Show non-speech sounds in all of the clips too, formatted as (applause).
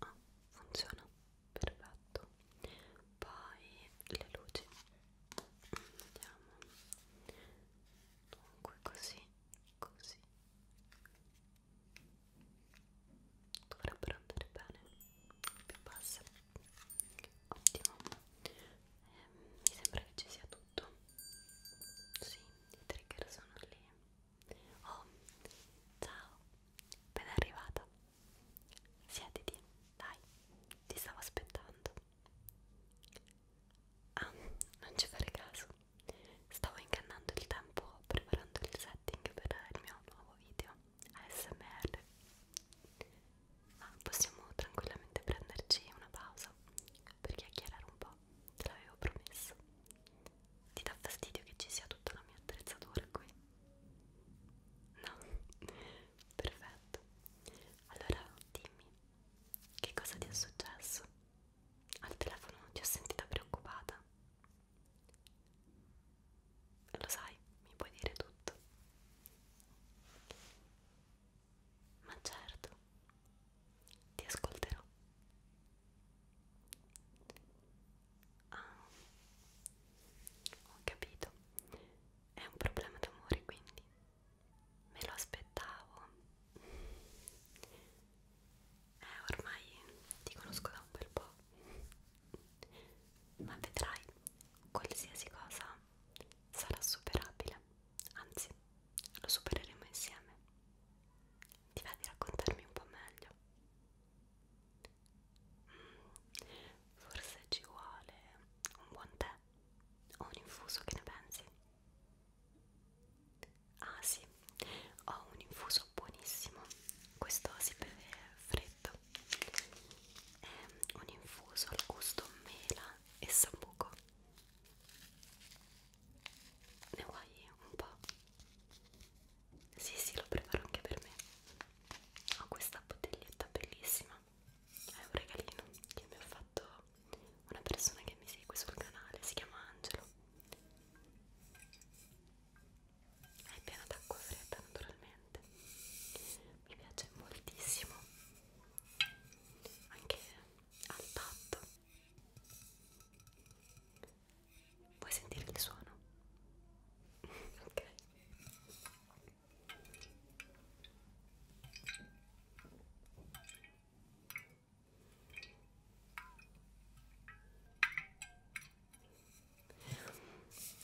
Ah, funziona perfetto. Poi le luci. Mm, vediamo. Dunque così così dovrebbero andare bene più basse ottimo ehm, mi sembra che ci sia tutto sì, i trigger sono lì oh, ciao ben arrivata siediti, dai ti stavo aspettando Ah, non ci fare caso, stavo ingannando il tempo preparando il setting per il mio nuovo video ASMR. Ma ah, possiamo tranquillamente prenderci una pausa per chiacchierare un po', te l'avevo promesso. Ti dà fastidio che ci sia tutta la mia attrezzatura qui? No? Perfetto. Allora dimmi, che cosa ti è successo? Al telefono ti ho sentita preoccupata. Lo sai, mi puoi dire tutto. Ma certo, ti ascolterò. Ah, ho capito. È un problema d'amore, quindi me lo aspettavo eh ormai ti conosco da un bel po' ma vedrai qualsiasi cosa sarà superabile anzi lo supereremo insieme ti va di raccontarmi un po' meglio mm, forse ci vuole un buon tè o un infuso che ne pensi Ah sì, ho un infuso buonissimo, questo si beve freddo, è ehm, un infuso al gusto mela e sambuco. Ne vuoi un po'? Sì, sì, lo preparo anche per me. Ho questa bottiglietta bellissima, è un regalino che mi ha fatto una persona che mi segue sul canale, si chiama Angelo è piena d'acqua fredda naturalmente mi piace moltissimo anche al tatto vuoi sentire il suono? (laughs) ok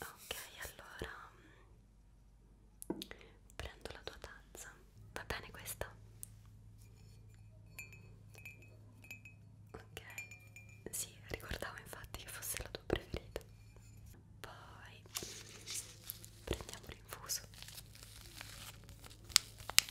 Ok, allora prendo la tua tazza. Va bene questa? Ok, sì, ricordavo infatti che fosse la tua preferita. Poi prendiamo l'infuso.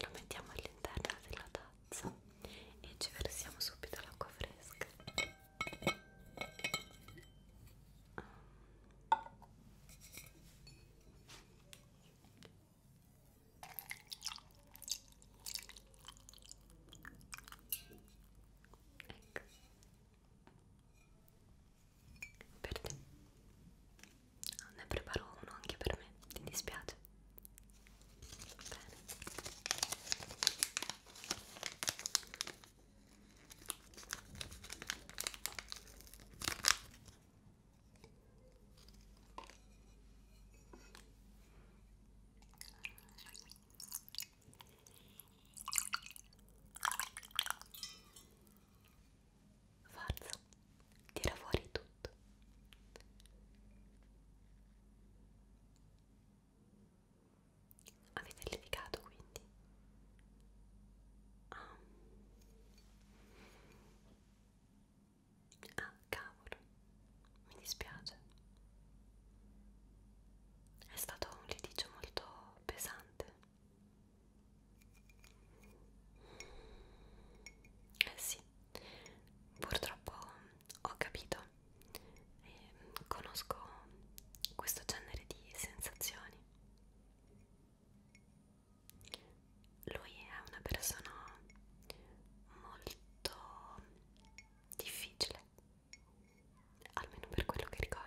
lo mettiamo all'interno della tazza e ci versiamo subito l'acqua fresca Ecco per te ne preparo uno anche per me ti dispiace bene Forza, tira fuori tutto. Avete litigato quindi? Ah. ah, cavolo, mi dispiace. È stato un litigio molto pesante. Eh sì, purtroppo ho capito e ehm, conosco questo genere di sensazioni. Lui è una persona molto difficile almeno per quello che ricordo.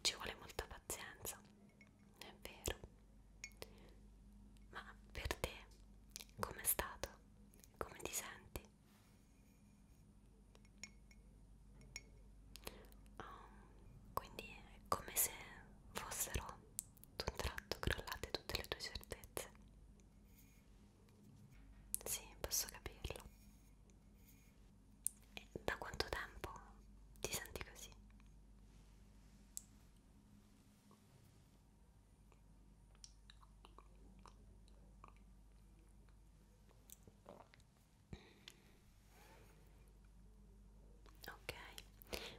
Ci vuole molta pazienza, è vero. Ma per te com'è stato? Come ti senti? Um, quindi è come se fossero d'un tratto crollate tutte le tue certezze. Sì, posso capirlo. E eh, da quanto tempo ti senti così? Ok,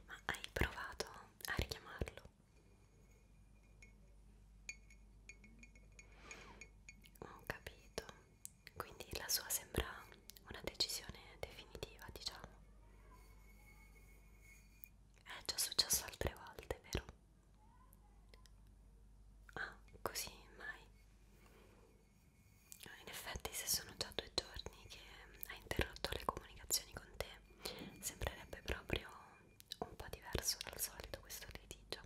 ma hai provato a richiamarlo? Ho capito quindi la sua sembra una decisione definitiva diciamo è già successo altre volte vero? ah così mai in effetti se sono già due giorni che hai interrotto le comunicazioni con te sembrerebbe proprio un po' diverso dal solito questo litigio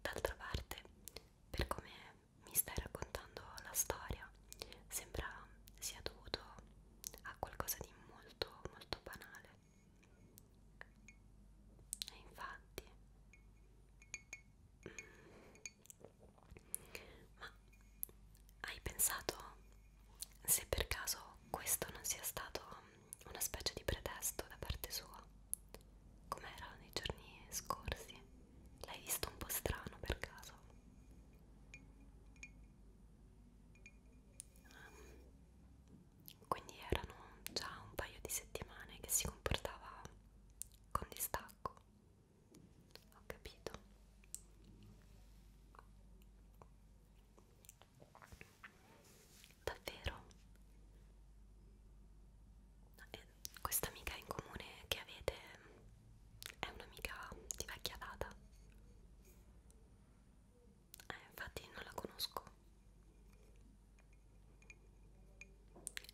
d'altra parte per come mi stai raccontando la storia sembra sia dovuto a qualcosa di molto molto banale e infatti mm, ma hai pensato se per caso questo non sia stato una specie di pretesto da parte sua Com'era nei giorni scorsi? L'hai visto un po' strano per caso? Um, quindi erano già un paio di settimane che si comportava con distacco. Ho capito. Davvero? Eh, questa amica in comune che avete è un'amica di vecchia data. Eh, infatti non la conosco.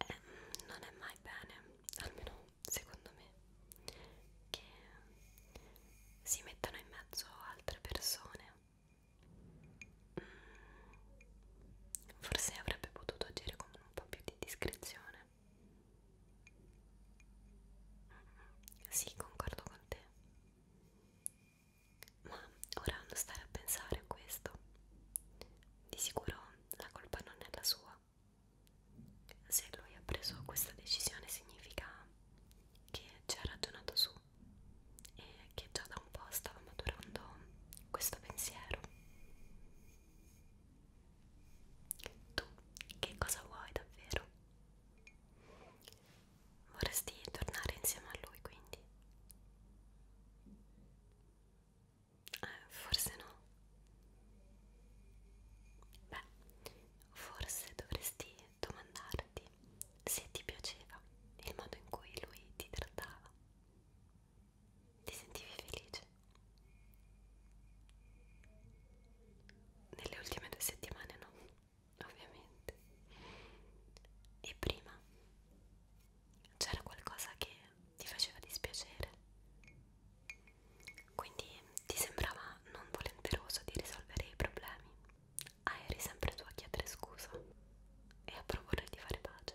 Eh, non è mai bene, almeno secondo me, che si mettano in mezzo altre persone. Forse avrebbe potuto agire con un po' più di discrezione. Sì, concordo con te. Ma ora non stare a pensare a questo. Di sicuro la colpa non è la sua. Se lui ha preso questa decisione significa che ci ha ragionato su e che già da da un po' stava maturando questo pensiero. Tu che cosa vuoi davvero? Vorresti tornare insieme a lui quindi? Eh, forse no. Beh, forse dovresti domandarti se ti piaceva il modo in cui lui ti trattava. Ti sentivi felice? Nelle ultime due settimane no, ovviamente. E prima c'era qualcosa che ti faceva dispiacere. Quindi ti sembrava non volenteroso di risolvere i problemi. Ah, eri sempre tu a chiedere scusa e a proporre di fare pace.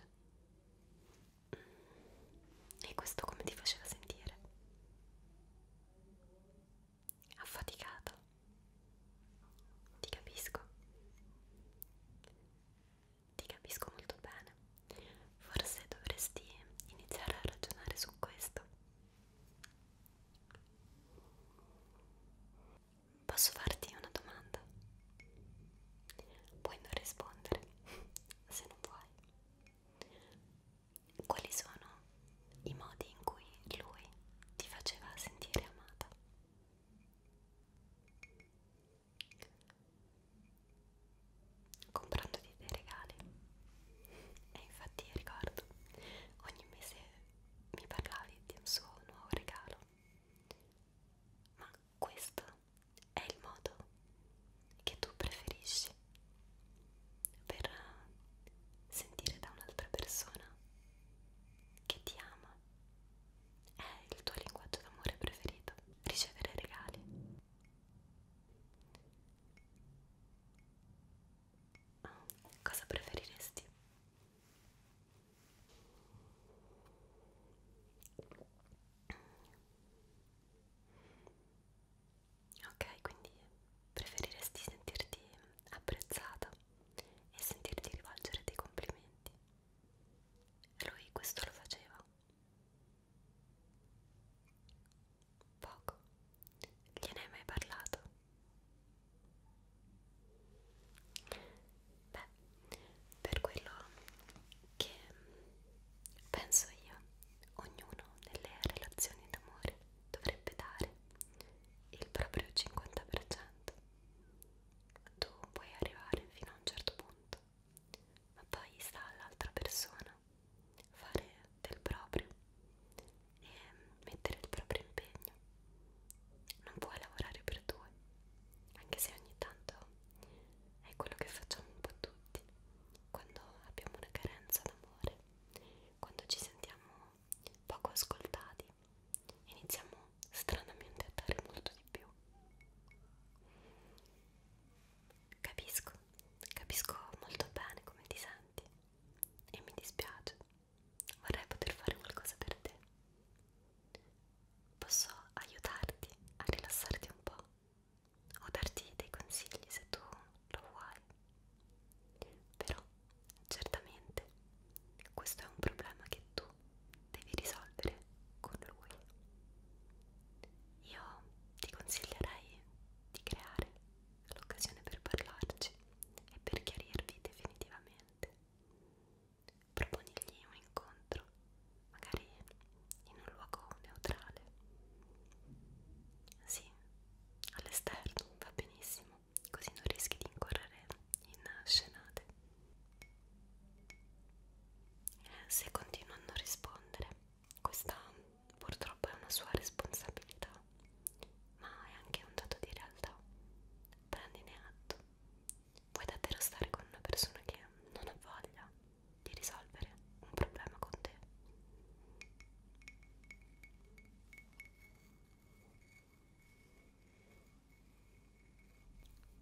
E questo come ti faceva sentire? Affaticato. Ti capisco. Ti capisco molto bene. Forse dovresti iniziare a ragionare su questo. Posso farti una domanda? Puoi non rispondere (laughs) se non vuoi. Quali sono i modi in cui lui ti faceva sentire amata? Comprandoti dei regali. E infatti ricordo, ogni mese mi parlavi di un suo nuovo regalo. Ma questo è il modo che tu preferisci per sentire da un'altra persona che ti ama. È il tuo linguaggio d'amore preferito, ricevere regali. Ah, cosa preferiresti? Ok, quindi preferiresti sentirti apprezzata e sentirti rivolgere dei complimenti. Lui questo lo faceva. Poco. Gliene hai mai parlato? Beh, per quello che penso io, ognuno nelle relazioni d'amore dovrebbe dare il proprio 50%. Tu puoi arrivare fino a un certo punto, ma poi sta all'altra persona fare del proprio e mettere il proprio impegno. Non puoi lavorare per due, anche se ogni tanto è quello che facciamo un po' tutti quando abbiamo una carenza d'amore, quando ci sentiamo poco ascoltati, iniziamo stranamente a dare molto di più. Capisco, capisco molto bene come ti senti e mi dispiace, vorrei poter fare qualcosa per te. Posso aiutarti a rilassarti un po' o darti dei consigli se tu lo vuoi. Però certamente questo è un problema che tu devi risolvere con lui. Io ti consiglierei di creare l'occasione per parlarci e per chiarirvi definitivamente proponigli un incontro, magari in un luogo neutrale. Sì, all'esterno va benissimo, così non rischi di incorrere in scenate. Eh, se continua a non rispondere, questa purtroppo è una sua responsabilità, ma è anche un dato di realtà. Prendine atto Puoi davvero stare con una persona che non ha voglia di risolvere un problema con te?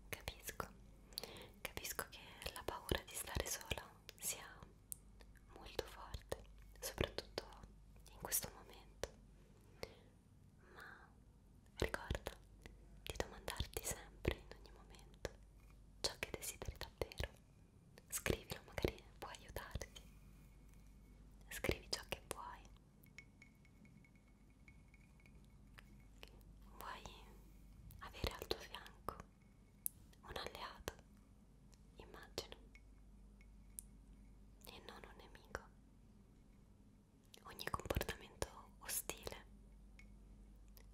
Capisco, capisco che la paura di stare sola sia molto forte, soprattutto in questo momento, ma Ricorda di domandarti sempre, in ogni momento, ciò che desideri davvero. Scrivilo, magari può aiutarti. Scrivi ciò che vuoi. Vuoi avere al tuo fianco un alleato, immagino, e non un nemico ogni comportamento ostile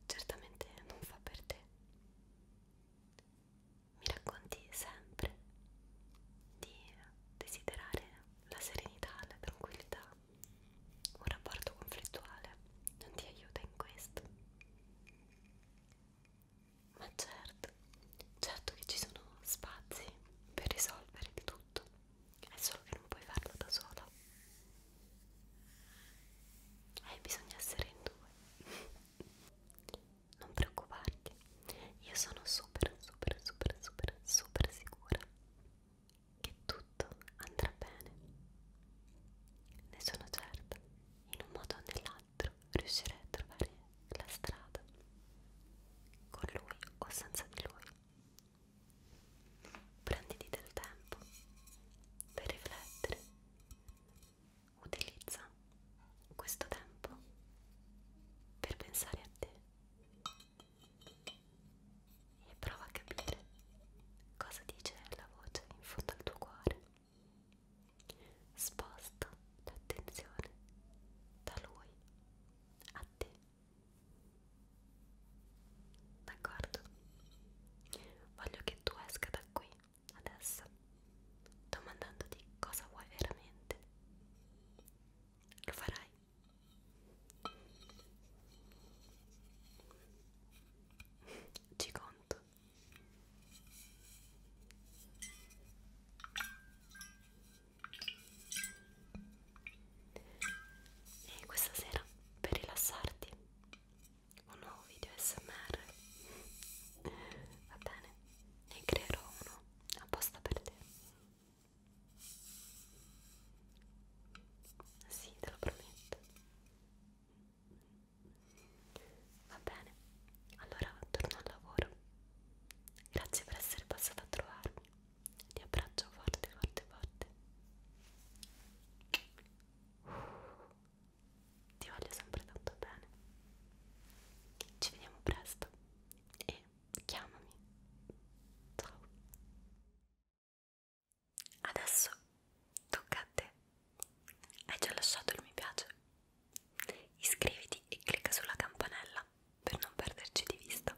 certamente non fa per te. Mi racconti sempre di desiderare la serenità, la tranquillità. Un rapporto conflittuale non ti aiuta in questo. Ma certo, certo che ci sono spazi per risolvere di tutto è solo che non puoi farlo da sola e eh, bisogna essere in due non preoccuparti io sono super super super super super sicura che tutto andrà bene ne sono certa in un modo o nell'altro riuscirai a trovare la strada con lui o senza di lui Prenditi del tempo per riflettere. Utilizza questo tempo per pensare a te e prova a capire cosa dice la voce in fondo al tuo cuore. Sposta l'attenzione da lui a te. D'accordo? Voglio che tu esca da qui, adesso, domandandoti cosa vuoi veramente. Lo farai? Ci conto. E questa sera, per rilassarti, un nuovo video SMR. Va bene? Ne creerò uno apposta per te. Sì, te lo prometto. Va bene, allora torno al lavoro. Grazie per essere passata a trovarmi ti abbraccio forte forte forte uh, ti voglio sempre tanto bene ci vediamo presto e chiamami ciao adesso tocca a te hai già lasciato il mi piace iscriviti e clicca sulla campanella per non perderci di vista